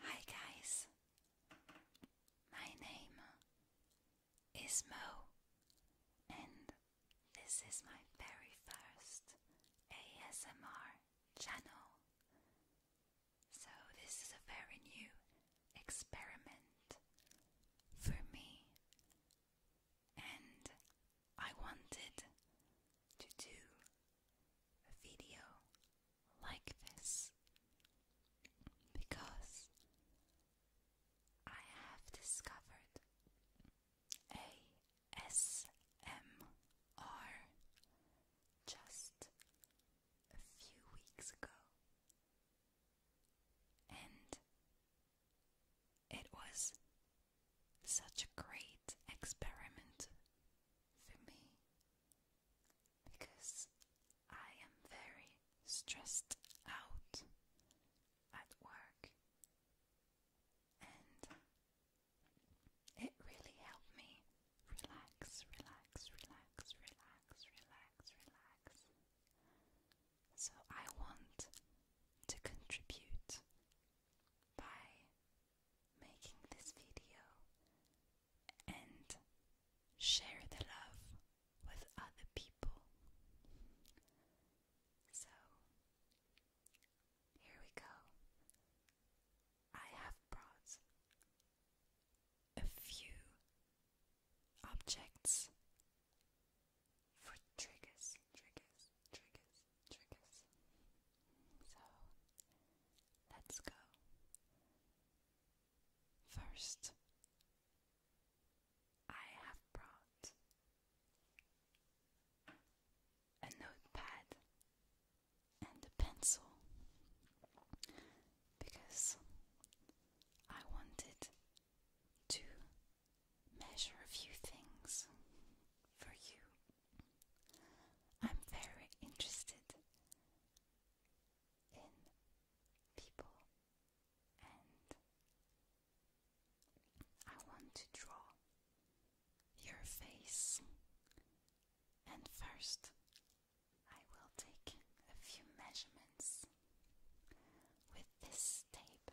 Hi guys, my name is Mo, and this is my very first ASMR channel. So, this is a very new experiment for me, and I wanted to do a video like this because I have discovered ASMR just a few weeks ago and it was such a great experiment for me because I am very stressed out at work, and it really helped me relax, relax, relax, relax, relax, relax. So I want to contribute by making this video and share the love with other people. So, here we go. I have brought a few objects for triggers, triggers, triggers triggers. So let's go. First, I have brought a notepad and a pencil because I wanted to measure a few things for you I'm very interested in people and I want to draw your face. And first, I will take a few measurements with this tape.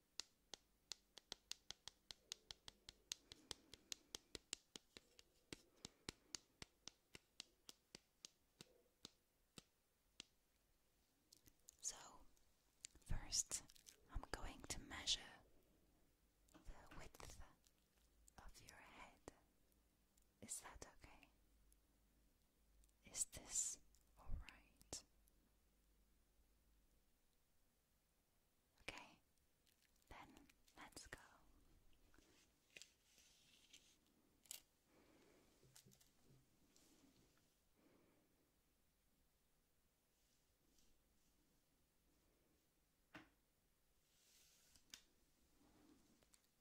So, first, I'm going to measure the width of your head. Is that okay? Is this all right? Okay, then let's go.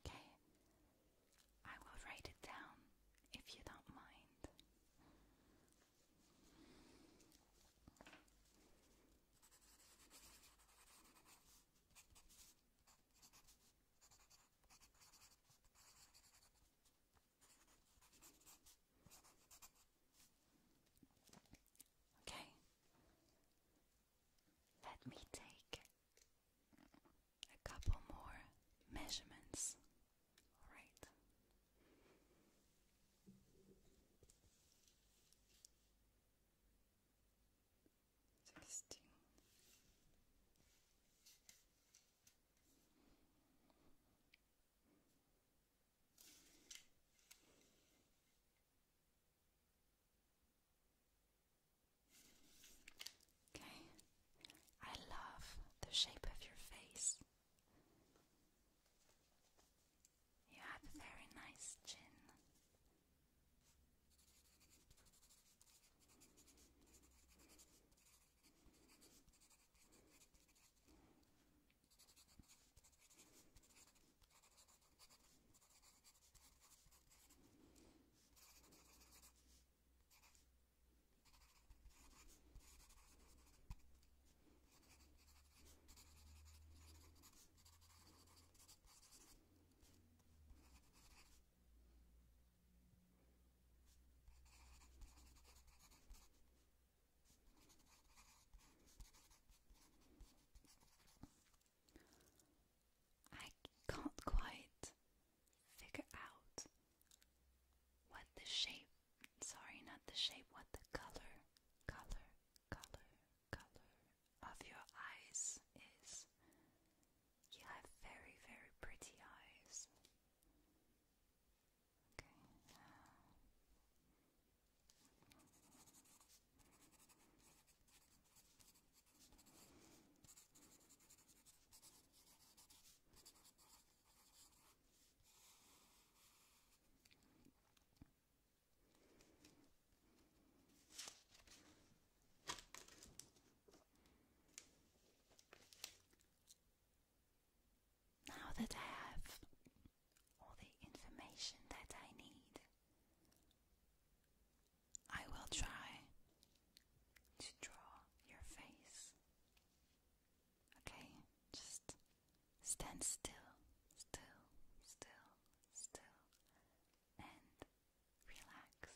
Okay, I will write it down if you don't mind. Okay, let me take a couple more measurements. All right. Sixteen. Okay. I love the shape of your face. You have a very nice chin. I can't quite figure out what the shape, sorry, not the shape, what the color, color, color, color of your eyes is. You have very, very pretty eyes. Okay. Now that I have all the information that I need, I will try to draw your face Okay, just stand still, still, still, still, and relax.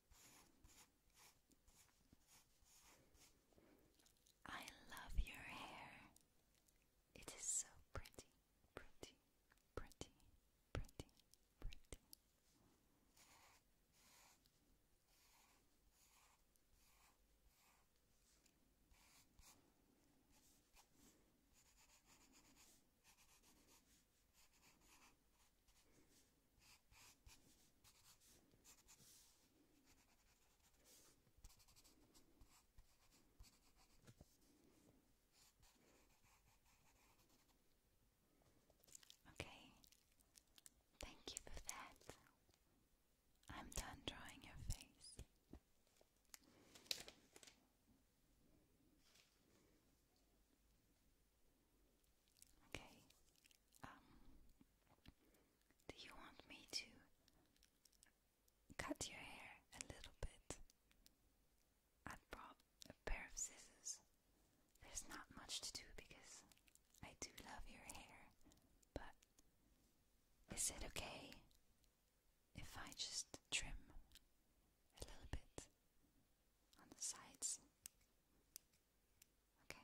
I love your hair. It is so pretty, pretty, pretty, pretty, pretty. Okay, thank you for that. I'm done drawing your face. Okay. Um, do you want me to cut your hair a little bit? I brought a pair of scissors. There's not much to do because I do love your hair, but is it okay if I just trim a little bit on the sides? Okay. Thank you.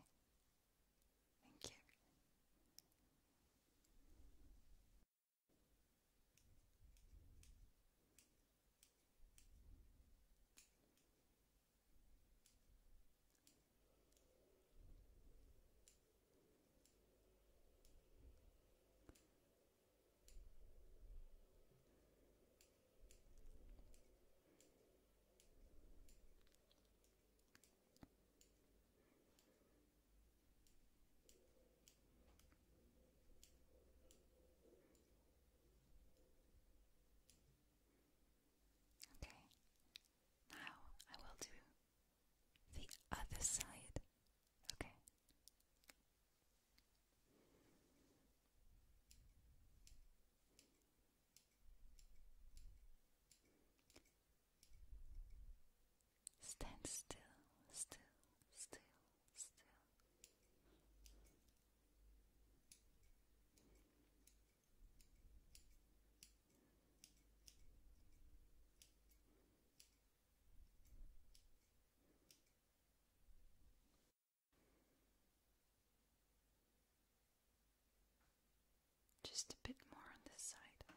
Okay, now I will do the other side. Okay. Stand still, still, still, still. Just a bit more on this side.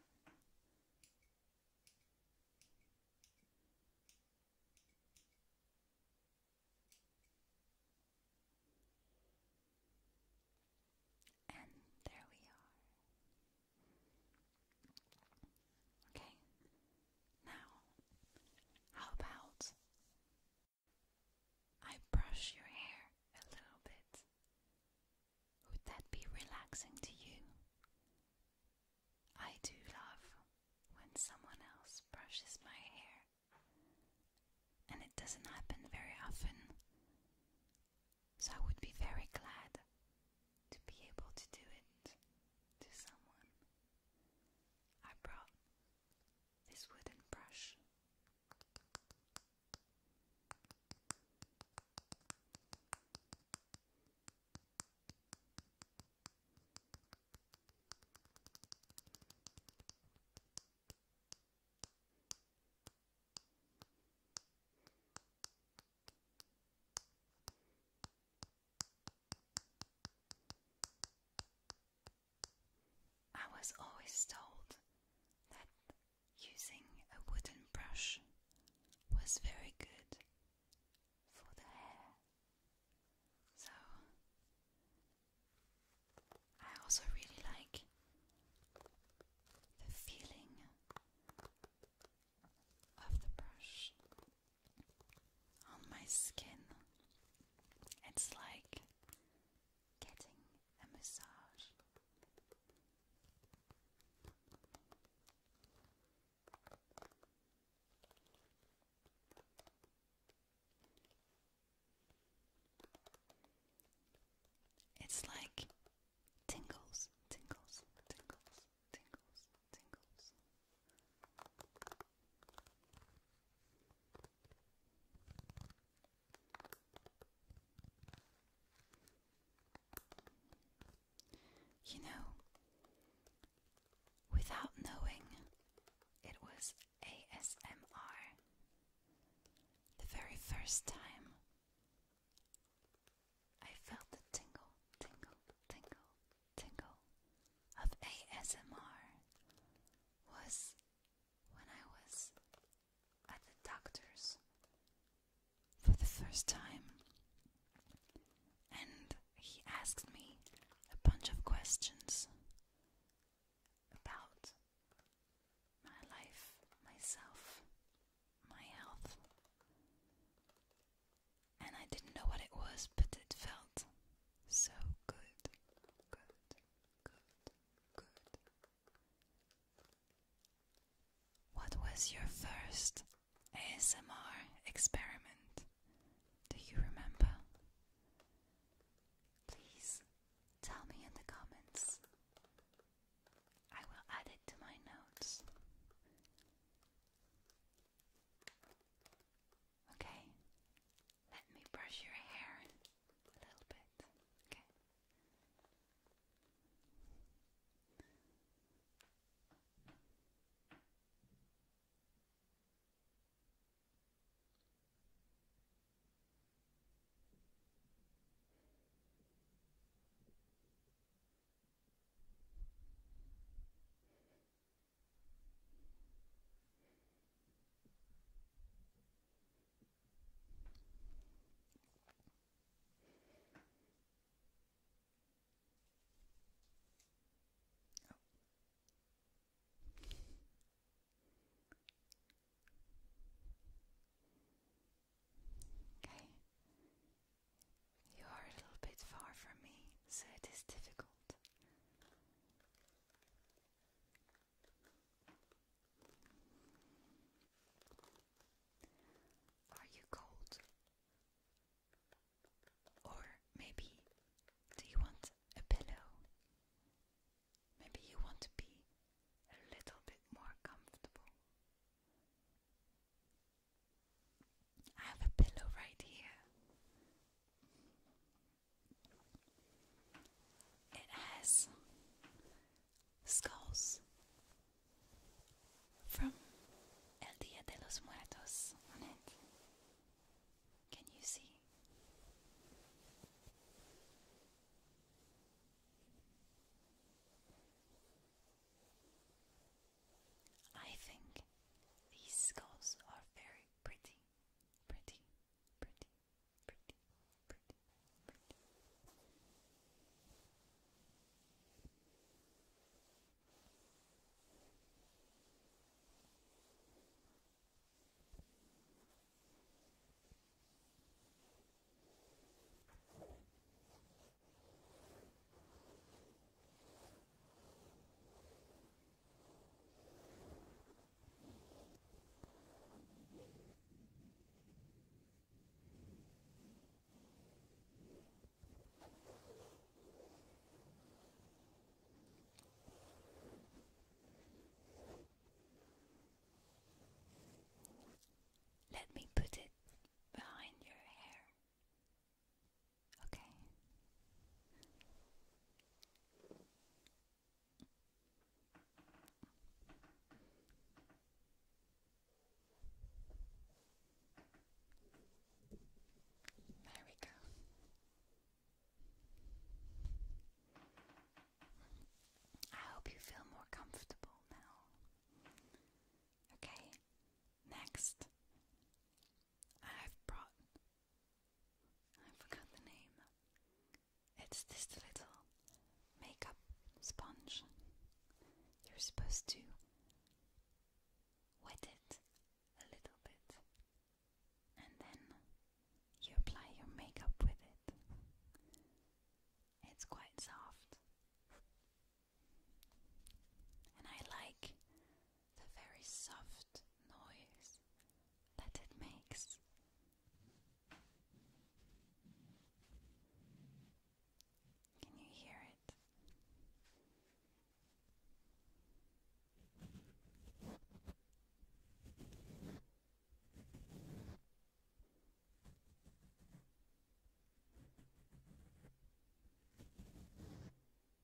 And there we are. Okay. Now, how about I brush your hair a little bit. Would that be relaxing to you? I do love when someone else brushes my hair, and it doesn't happen very often, so I would be very glad to be able to do it to someone. I brought this wooden brush. I was always told that using a wooden brush was very good for the hair. So I also really like the feeling of the brush on my skin. It's like getting a massage. It's like tingles, tingles, tingles, tingles, tingles. You know, without knowing it was ASMR, the very first time I felt the tingle, tingle, tingle, tingle of ASMR was when I was at the doctor's for the first time. And he asked me a bunch of questions about my life, myself, my health. And I didn't know what it was, but it felt so good, good, good, good. What was your first ASMR experiment? Do you remember? Please tell me in the comments. I will add it to my notes. Okay, let me brush your hair a little bit. Okay. Okay. Oh. Okay. You are a little bit far from me, so it is difficult. Are you cold? Or maybe do you want a pillow? Maybe you want to be a little bit more comfortable. I have a pillow right here. It has skulls from El Dia de los Muertos on it. Can you see? I think these skulls are very pretty, pretty, pretty, pretty, pretty, pretty. Let me put it behind your hair. Okay. There we go. I hope you feel more comfortable now. Okay, next, I've brought I forgot the name. It's this little makeup sponge. You're supposed to wet it a little bit and then you apply your makeup with it. It's quite soft. And I like the very soft noise that it makes. Can you hear it?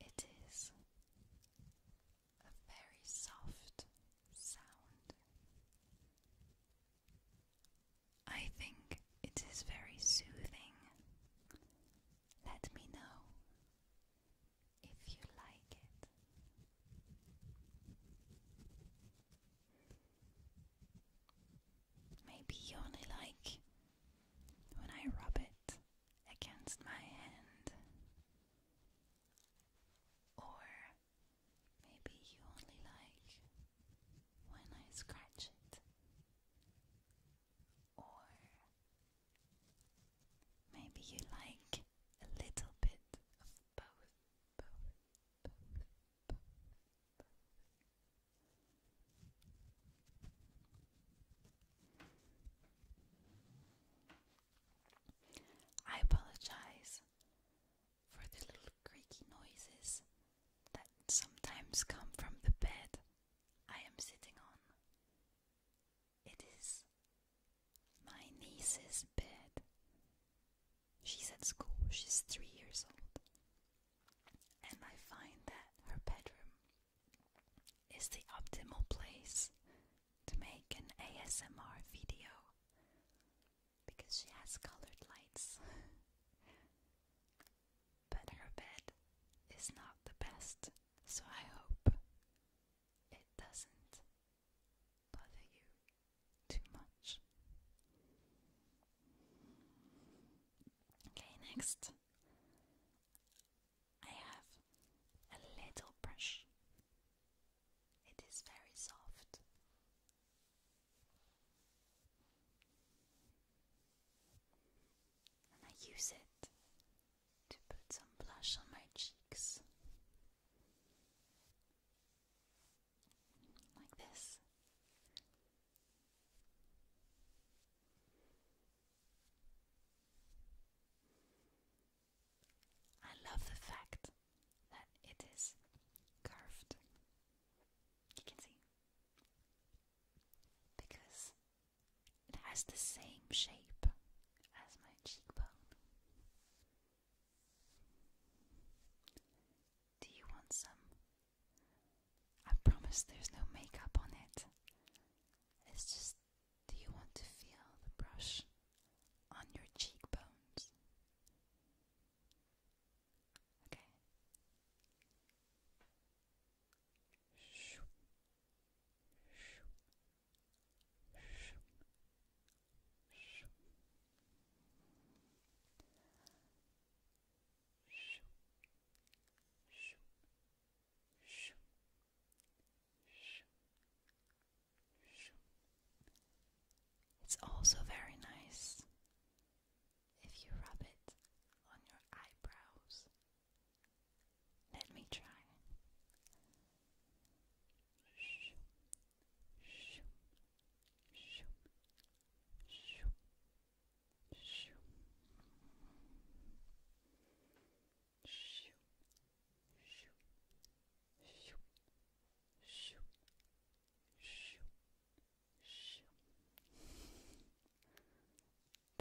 It is a very soft sound, I think it is very soothing. Let me know if you like it. Maybe you only like when I rub it against my hand or maybe you only like when I scratch it, or maybe you like a little bit of both, I apologize for the little creaky noises that sometimes come from the bed I am sitting on. It is my niece's bed. She's at school, she's three years old, and I find that her bedroom is the optimal place to make an ASMR video because she has colored lights. but her bed is not the best, so I hope it doesn't bother you too much. Okay, next I have a little brush. It is very soft and I use it to put some blush on my cheeks. Like this. I love the fact that it is curved. You can see. Because it has the same shape as my cheekbone. Do you want some? I promise there's no makeup on it. It's just, do you want to feel the brush on your cheekbones? Okay. Shoo. Shoo. Shoo. Shoo. Shoo. Shoo. Shoo. Shoo. It's also very nice if you rub it on your eyebrows. Let me try.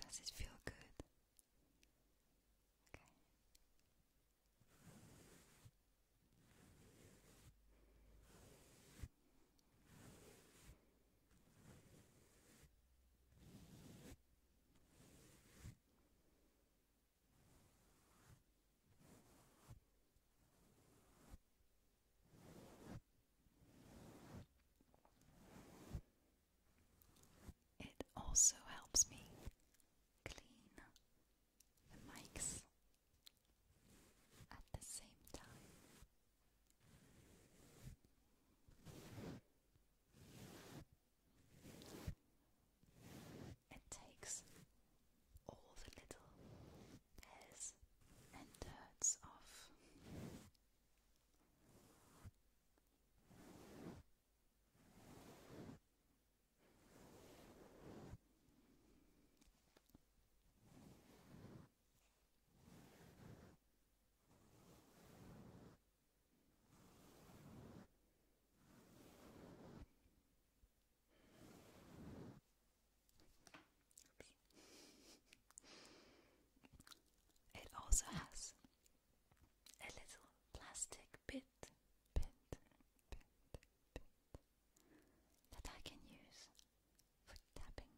Does it feel good? It also helps me clean the mics at the same time. It takes all the little hairs and dirts off. It also has a little plastic bit, that I can use for tapping.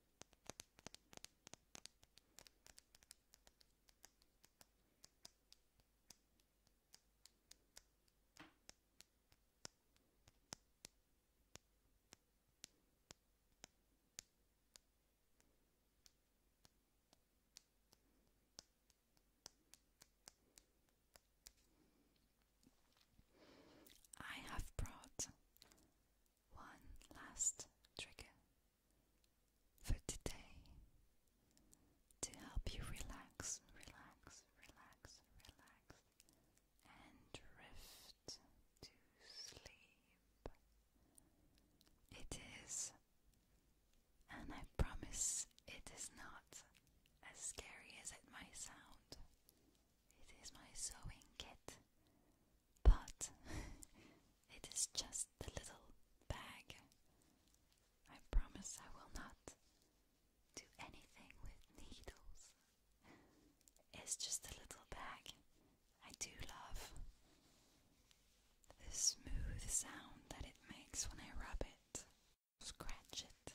I have brought one last trigger for today to help you relax, relax, relax, relax, and drift to sleep. It is, and I promise it is not as scary as it might sound. It is my sewing kit but it is just a little bag. I promise I will not do anything with needles. It's just a little bag. I do love the smooth sound that it makes when I rub it, scratch it.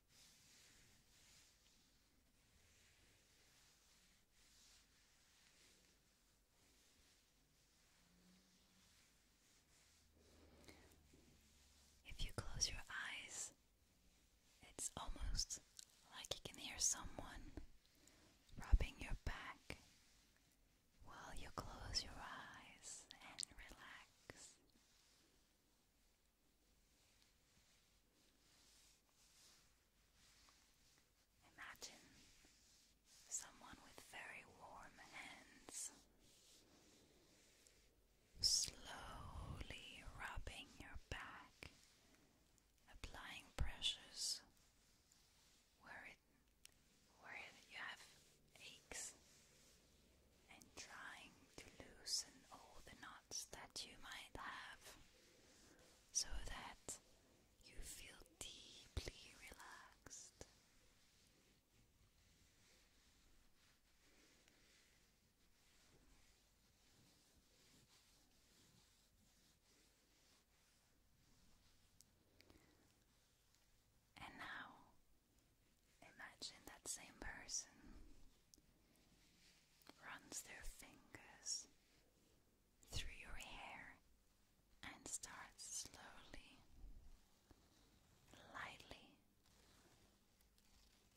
If you close your eyes, it's almost like you can hear someone rubbing your back while you close your eyes and relax. Imagine someone with very warm hands slowly rubbing your back, applying pressures where where you have aches and trying to loosen all the knots that you might have so that you feel deeply relaxed. And now Imagine that same person runs their fingers through your hair and starts slowly, lightly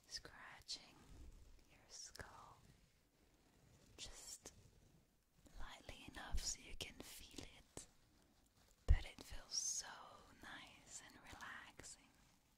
scratching your skull just lightly enough so you can feel it, but it feels so nice and relaxing.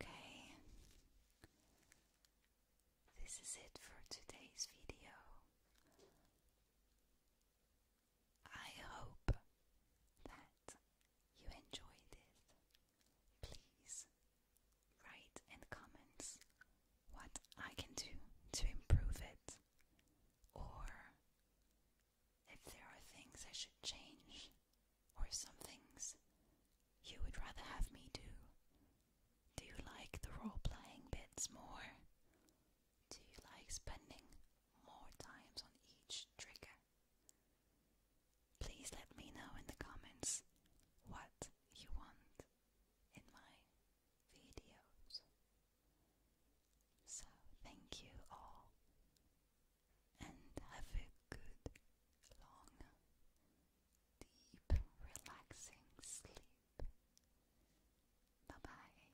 Okay, this is it for today's video. I hope that you enjoyed it. Please write in comments what I can do to improve it or if there are things I should change or some things you would rather have me do. Do you like the role playing bits more? Do you like spending more times on each trigger? Please let me know in the comments what you want in my videos. So, thank you all and have a good, long, deep, relaxing sleep. Bye bye.